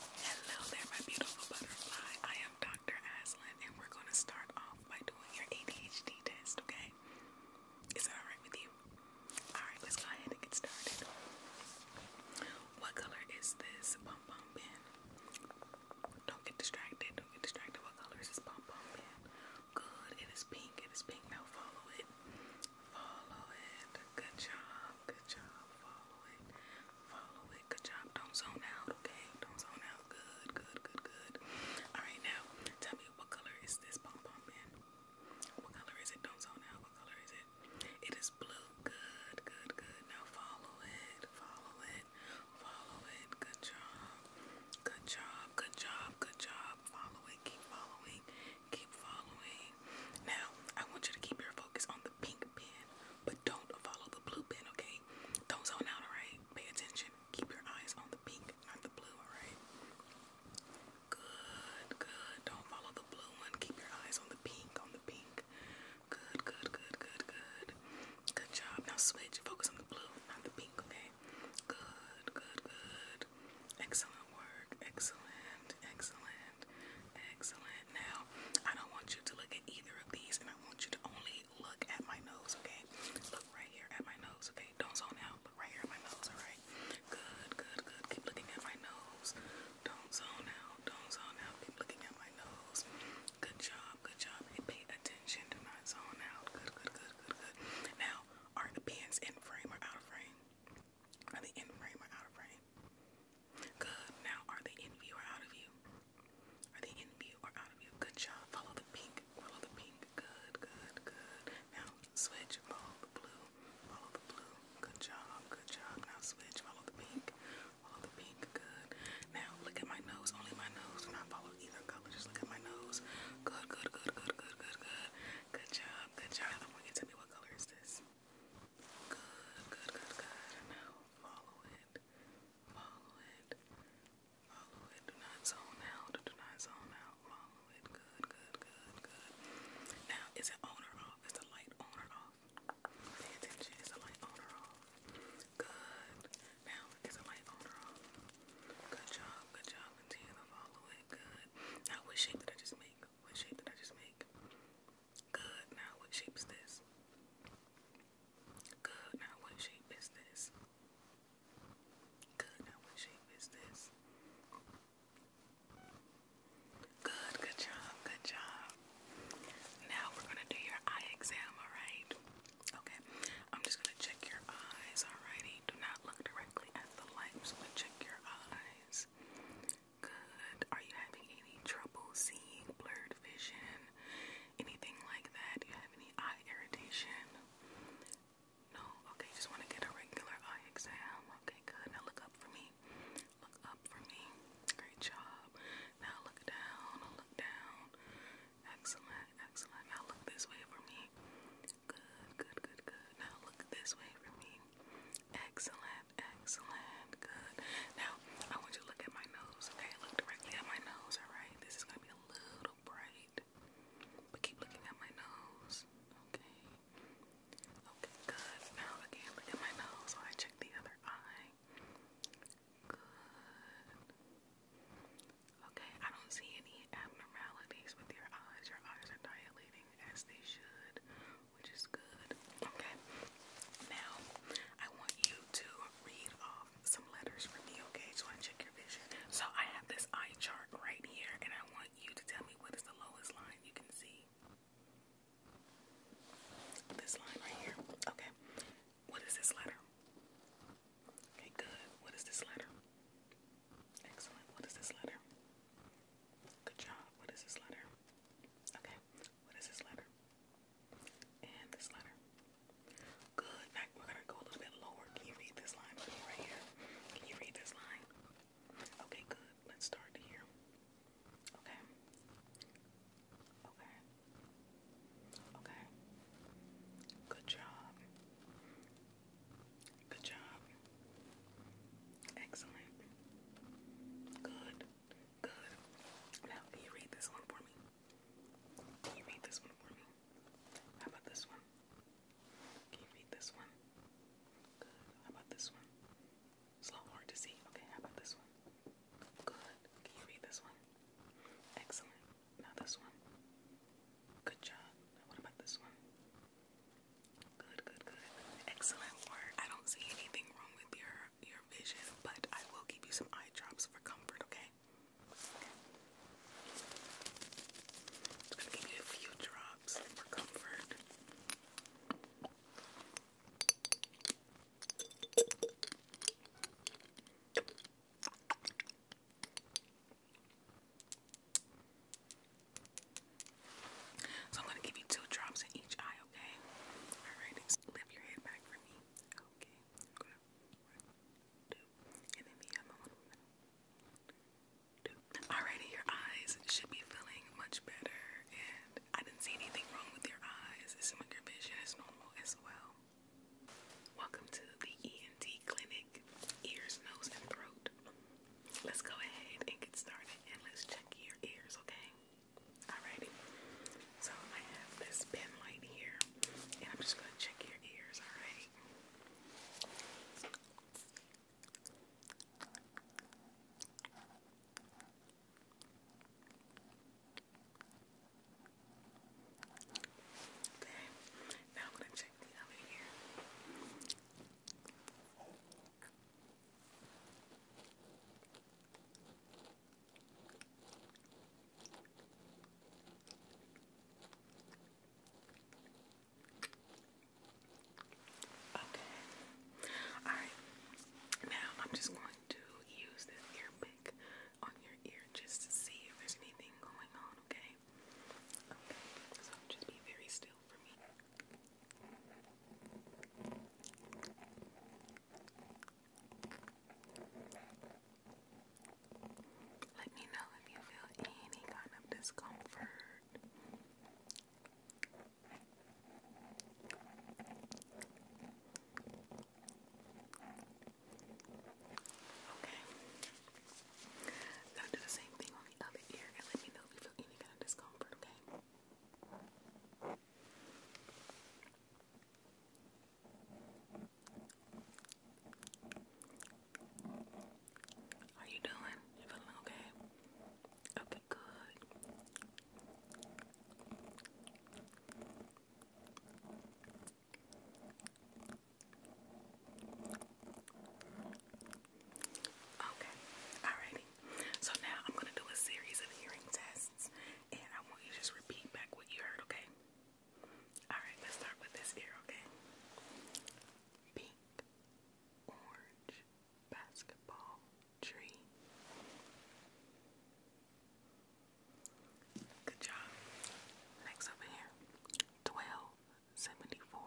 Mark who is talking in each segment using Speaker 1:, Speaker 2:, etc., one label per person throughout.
Speaker 1: Hello there, my beautiful butterfly. I am Dr. Aslan, and we're going to start off by doing your ADHD test, okay? Is that alright with you? Alright, let's go ahead and get started. What color is this pom pom pen? Don't get distracted, don't get distracted. What color is this pom pom pen? Good, it is pink, it is pink. Now follow it. Follow it. Good job, good job. Follow it. Follow it. Good job. Don't zone out, okay? Don't zone out. Good, good, good, good. Alright, now tell me what color is this pom pom in? What color is it? Don't zone out. What color is it? It is blue. Good, good, good. Now follow it. Follow it. Follow it. Good job. Good job. Good job. Good job. Follow it. Keep following. Keep following. Now, I want you to keep your focus on pink pen, but don't follow the blue pen, okay? Don't zone out, alright? Pay attention. Keep your eyes on the pink, not the blue, alright? Good, good. Don't follow the blue one. Keep your eyes on the pink, on the pink. Good, good, good, good, good. Good job. Now switch. Focus on the blue, not the pink, okay? Good, good, good. Excellent work. Excellent, excellent. Excellent. Now, I don't want you to look at either of these, and I want you to only look at my nose, okay? Look right here at my nose, okay? Don't zone out. Look right here at my nose, alright? Good, good, good. Keep looking at my nose. Don't zone out. Don't zone out. Keep looking at my nose. Good job, good job. pay attention. to my zone out. Good, good, good, good, good. Now, are the pins in frame or out of frame? Are they in frame or out of frame? Good. Now, are they in view or out of view? Are they in view or out of view? Good job. Follow the pink. Follow the pink. Good, good, good. Now, switch. Follow the blue. Follow the blue. Good job. Good job. Now, switch. Follow the pink. Follow the pink. Good. Now, look at my nose. Only my nose. Do not follow either color. Just look at my nose. Good, good, good, good, good, good, good. Good job. Good job. I want you to tell me what color is this? Good, good, good, good. Now follow it. Follow it. Follow it. Do not zone out. Do not zone out. Follow it. Good, good, good, good. Now, is it on or off? Is the light on or off? Pay attention. Is the light on or off? Good. Now, is the light on or off? Good job. Good job. Continue to follow it. Good. what shape did I just make? What shape did I just make? Good, now what shape is this? Good, now what shape is this? Good, now what shape is this? Good, good job, good job. Now we're gonna do your eye exam, alright? Okay, I'm just gonna check your eyes, alrighty? Do not look directly at the light, I'm just gonna check your eyes. Good. Are you having any trouble seeing, blurred vision, anything like that? Do you have any eye irritation? No? Okay, just want to get a regular eye exam. Okay, good. Now look up for me. Look up for me. Great job. Now look down. Look down. Excellent. Excellent. Now look this way for me. Good, good, good, good. Now look this way for me. Excellent excellent, good. Now, I want you to look at my nose, okay? Look directly at my nose, alright? This is gonna be a little bright, but keep looking at my nose, okay? Okay, good. Now, again, look at my nose while I check the other eye. Good. Okay, I don't see any abnormalities with your eyes. Your eyes are dilating as they should which is good. Okay. Now, I want you to read off some letters for me, okay? Just want check your vision. So, I have this eye chart right here, and I want you to tell me what is the lowest line you can see. This line right here. Okay. What is this letter? Okay, good. What is this letter? Excellent. What is this letter? Good job. What is this letter? Okay. What is this letter? And this letter. Good. we're gonna go a little bit lower. Can you read this line right here? Can you read this line? Okay, good. Let's start here. Okay. Okay. Okay. Good job. Good job. Excellent. Good. Good. Now, can you read this one for me? Can you read this one for me? How about this one? Can you read this one? Good. How about this one? It's a little hard to see. Okay, how about this one? Good. Can you read this one? Excellent. Now this one. Good job. what about this one? Good, good, good. Excellent work. I don't see anything wrong with your your vision, but I will give you some eye drops for comfort, okay? Okay. gonna give you a few drops for comfort. So I'm gonna give you two drops in each eye, okay? Alright, lift your head back for me. Okay. Alrighty, your eyes should be feeling much better, and I didn't see anything wrong with your eyes. It seems like your vision is normal as well. Welcome to the ENT clinic, ears, nose, and throat let's go ahead and get started and let's check your ears, okay? Alrighty. So I have this pen here and I'm just gonna check your ears, alright? Okay, now I'm gonna check the other ear. Okay. All right. Now I'm just going to use this ear pick on your ear just to see if there's anything going on, okay? Okay. So just be very still real Let me know if you feel any kind of discomfort. Okay. Now do the same thing on the other ear and let me know if you feel any kind of discomfort, okay? How you doing? You feeling okay? Okay, good. Okay, alrighty. So now I'm gonna do a series of hearing tests and I want you just repeat back what you heard, okay? Alright, let's start with this ear, okay? Pink, orange, basketball, tree. Good job. Next over here. Twelve, 74,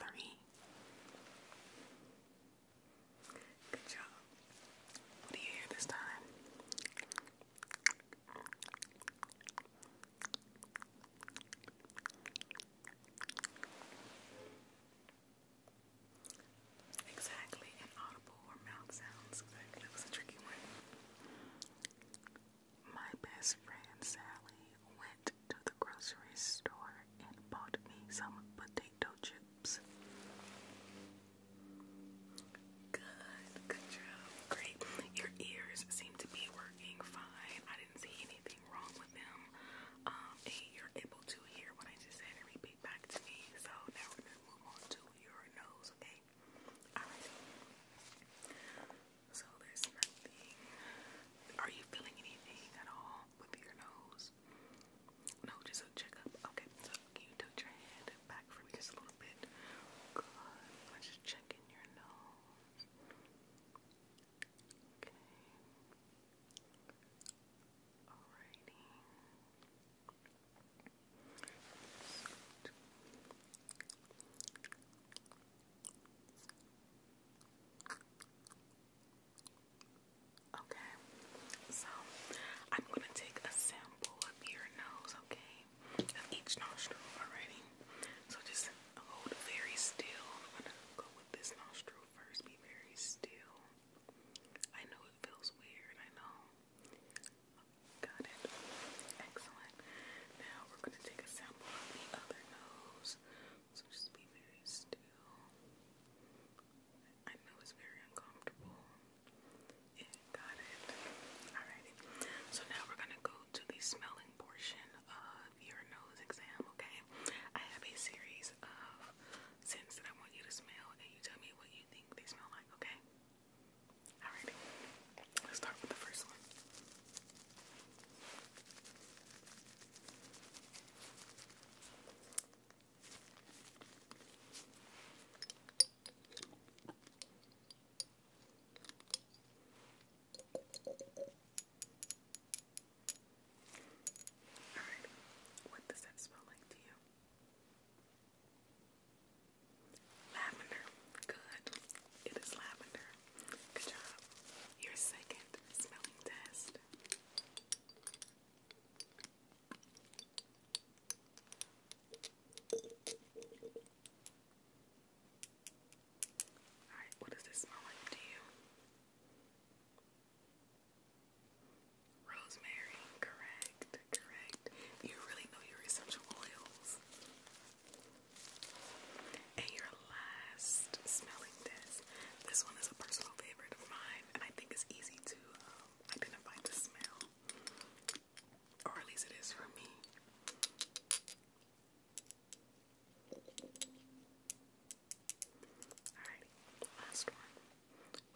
Speaker 1: 3. Good job. What do you hear this time? Exactly, an audible or mouth sounds. that was a tricky one. My best friend Sally went to the grocery store and bought me some potato chips. Good, good job. Great. Your ears seem to be working fine. I didn't see anything wrong with them. Um, you're able to hear what I just said and repeat back to me. So now we're going to move on to your nose, okay? So there's nothing. Are you feeling anything at all with your nose? No, just a checkup. Okay, can you tilt your head back for me just a little bit? Good. I'm just checking your nose. Okay. Alrighty. Okay, so I'm gonna take a sample of your nose, okay? Of each nostril already. So just hold very still. I'm gonna go with this nostril first, be very still. I know it feels weird, I know. Got it. Excellent. Now we're gonna take a sample. So just be very still. I know it's very uncomfortable. got it. Alrighty. So now we're gonna go to the smelling portion of your nose exam, okay? I have a series of scents that I want you to smell and you tell me what you think they smell like, okay? Alrighty, let's start with the first one. Alright, what does that smell like to you? Lavender. Good. It is lavender. Good job. Your second smelling test. Alright, what does this smell like to you? Rosemary, correct, correct. You really know your essential oils. And your last smelling this. This one is a personal favorite of mine, and I think it's easy to um, identify the smell. Or at least it is for me. Alrighty, last one.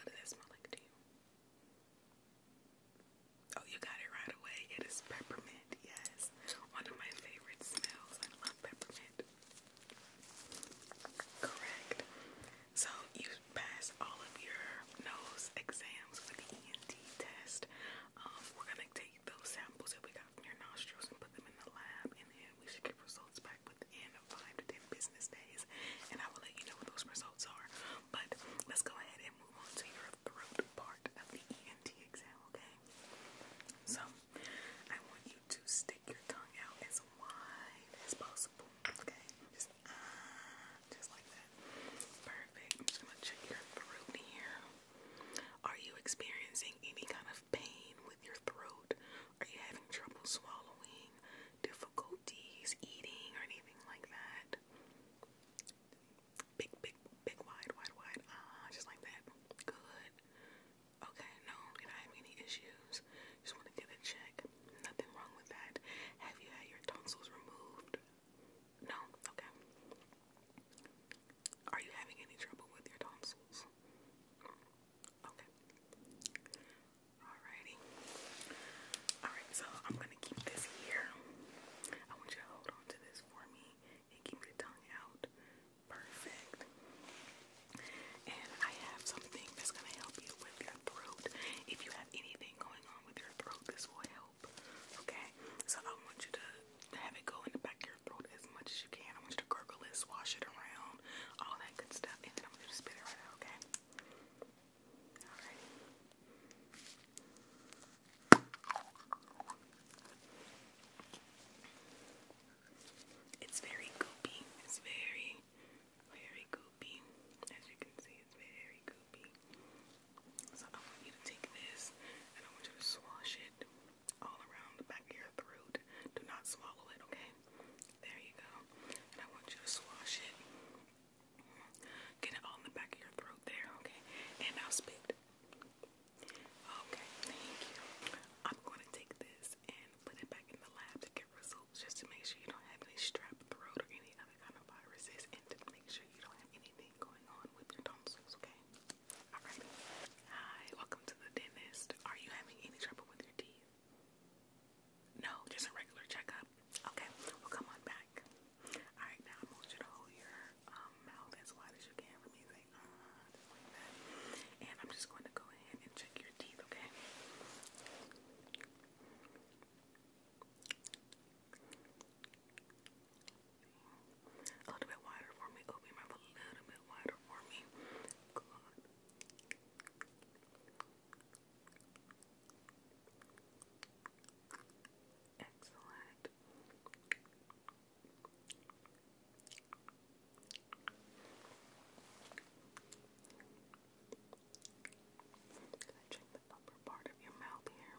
Speaker 1: What does that smell like to you? Oh, you got it right away. It is peppermint, yes. One of my favorite smells. I love peppermint. Correct. So you passed all of your nose exams with the ENT test. Um, we're gonna take those samples that we got from your nostrils and put them in the lab, and then we should get results back within five to ten business days. And I will let you know what those results are. But let's go ahead and removal finger of throat part of the ENT exam, okay? So, I want you to stick your tongue out as wide as possible, okay? Uh, just like that. Perfect. I'm just gonna check your throat here. Are you experiencing any kind of pain with your throat? Are you having trouble swallowing? Difficulties eating or anything like that? Big, big, big, wide, wide, wide. Ah, just like that. Good. Okay, no, you're not any issues. Just want to get a check. Nothing wrong with that. Have you had your tonsils removed? No? Okay. Are you having any trouble with your tonsils? Okay. Alrighty. Alright, so I'm gonna keep this here. I want you to hold on this for me and keep your tongue out. Perfect. And I have something that's going to help you with your throat. If you have anything going on with your throat, this will help. Okay? So I want you to have it go in the back of your throat as much as you can. I want you to gargle it, swash it around, all that good stuff. And then I am going to spit it right out, okay? Alright. It's very goopy. It's very, very goopy. As you can see, it's very goopy. So I want you to take this and I want you to swash it all around the back of your throat. Do not swallow it, okay? There you go. And I want you to swash it Get it all in the back of your throat there, okay? And now spit. Okay, thank you. I'm going to take this and put it back in the lab to get results just to make sure you don't have any strep throat or any other kind of viruses and to make sure you don't have anything going on with your tonsils, okay? Hi, welcome to the dentist. Are you having any trouble with your teeth? No, just a regular checkup. Okay, well come on back back. Alright, now I want you to hold your um, mouth as wide as you can for me. Like, uh, that. And I'm just going to go ahead and check your teeth, okay? A little bit wider for me. Open your a little bit wider for me. Good. Excellent. Can I check the upper part of your mouth here?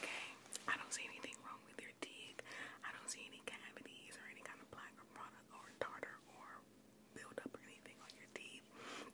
Speaker 1: Okay, I don't see anything wrong with your teeth. I don't see any cavities or any kind of plaque or product or tartar or buildup or anything on your teeth.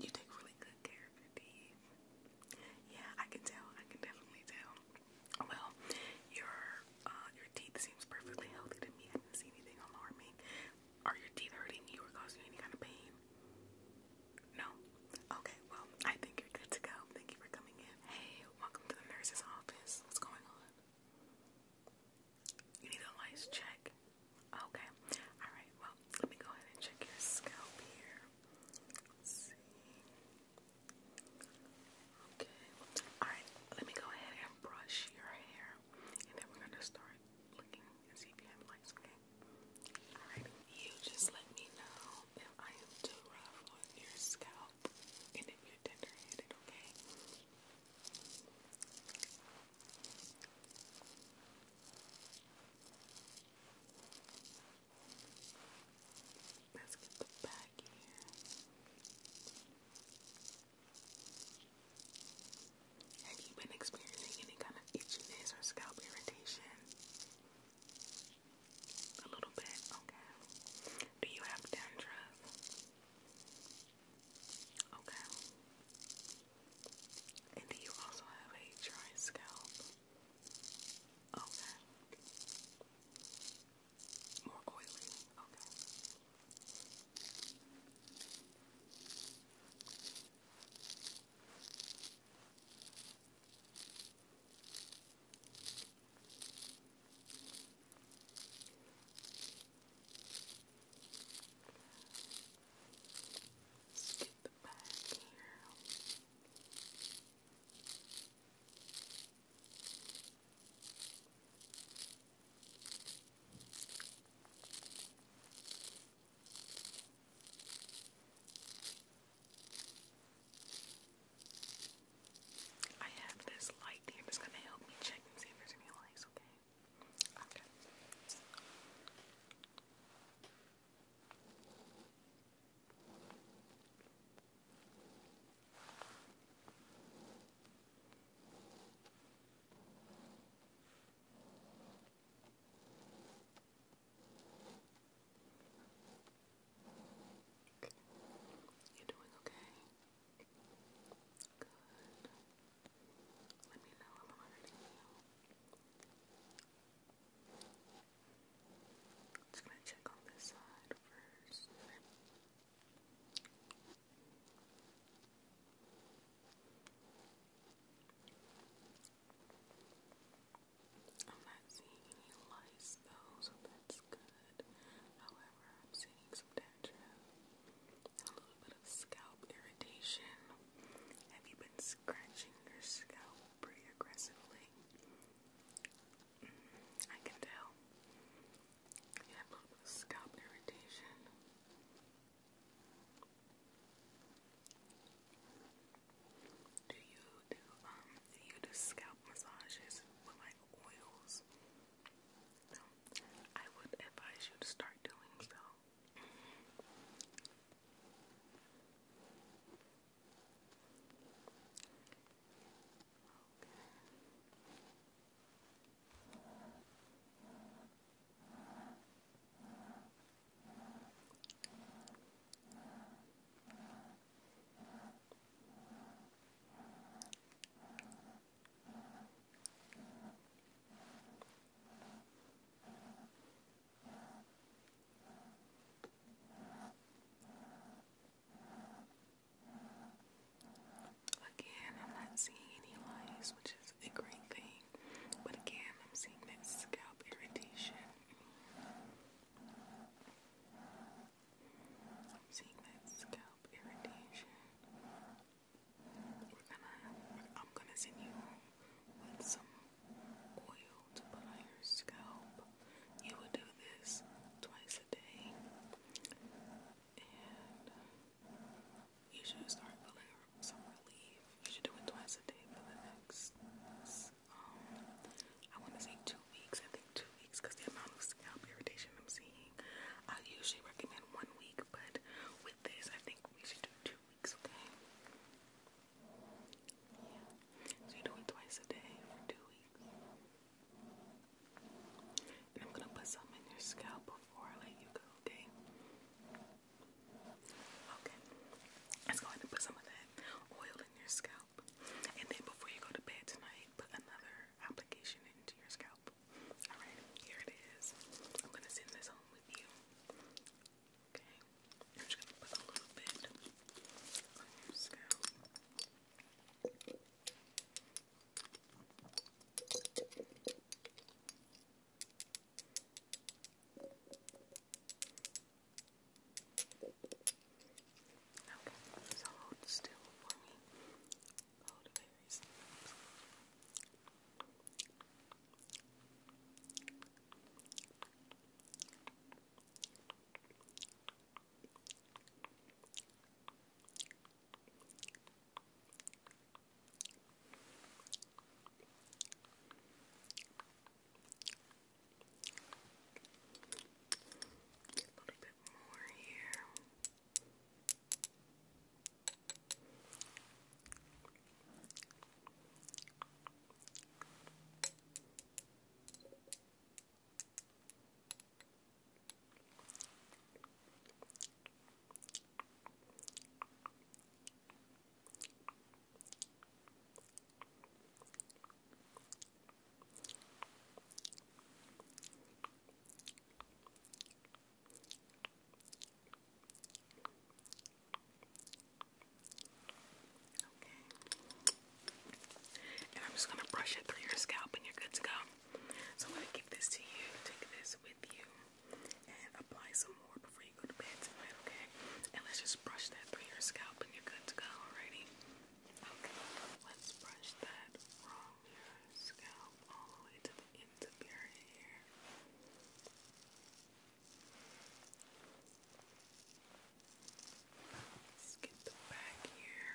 Speaker 1: You take really good care of your teeth. Yeah, I can tell. I can definitely tell. Well, your uh, your teeth seems perfectly healthy to me. I didn't see anything alarming. Are your teeth hurting you or causing any kind of pain? No? Okay, well, I think you're good to go. Thank you for coming in. Hey, welcome to the nurse's office. What's going on? You need a lice check? Okay. Alright, well, let me go ahead and check your scalp here. Okay. Alright, let me go ahead and brush your hair. And then we're going to start looking and see if you have lice, okay? you just let me know if I am too rough on your scalp and if you're tender headed, okay? Let's get the back here. Have you been experiencing any kind of itchiness or scalp irritation? A little bit, okay. Do you have dandruff? Okay. And do you also have a dry scalp? Okay. More oily, okay. Let's get the back here. Let's I have this light here that's gonna help me check and see if there's any lights, Okay. Okay. You're doing okay? Good. Let me know I'm alerting you. Just gonna check on this side first. I'm not seeing any lice though, so that's good. However, I'm seeing some dandruff, a little bit of scalp irritation. Have you been scratching your scalp pretty aggressively? Mm, I can tell. You a little bit of scalp irritation. Do you do um do you do scalp massages with like oils? I would advise you to start doing so. Again, I'm not seeing any lines, which is is great thing, but again, I'm seeing that scalp irritation. I'm seeing that scalp irritation. I'm gonna send you with some oil to put on your scalp. You will do this twice a day, you should start feeling some relief. You should do it twice a day for the next, um, I want to say two weeks. I think two weeks because the amount of scalp irritation I'm seeing. I usually recommend one week, but with this, I think we should do two weeks, okay? So you do it twice a day for two weeks. And I'm gonna put some in your scalp before I let you go, okay? Okay, let's go ahead and put some of that oil in your scalp. And then before you go to bed tonight, put another application into your scalp. Alright, here it is. I'm gonna send this home with you. Okay, I'm just gonna put a little bit on your scalp. Okay, so hold still for me. Hold very still. Okay. A little bit more here. Okay. And I'm just going to brush it through your scalp and you're good to go. So I'm going to give this to you. Take this with you and apply some more before you go to bed tonight, okay? And let's just brush that through your scalp and you're good to go, alrighty? Okay, let's brush that from your scalp all the way to the end of your hair. Let's get the back here.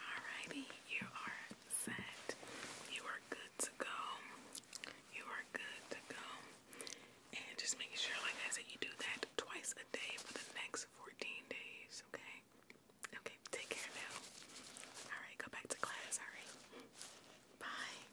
Speaker 1: Alrighty, you are set. You are good to go. You are good to go. And just making sure, like I said, you do that twice a day for the next 14 days, okay? Okay, take care now. Alright, go back to class, alright? Bye.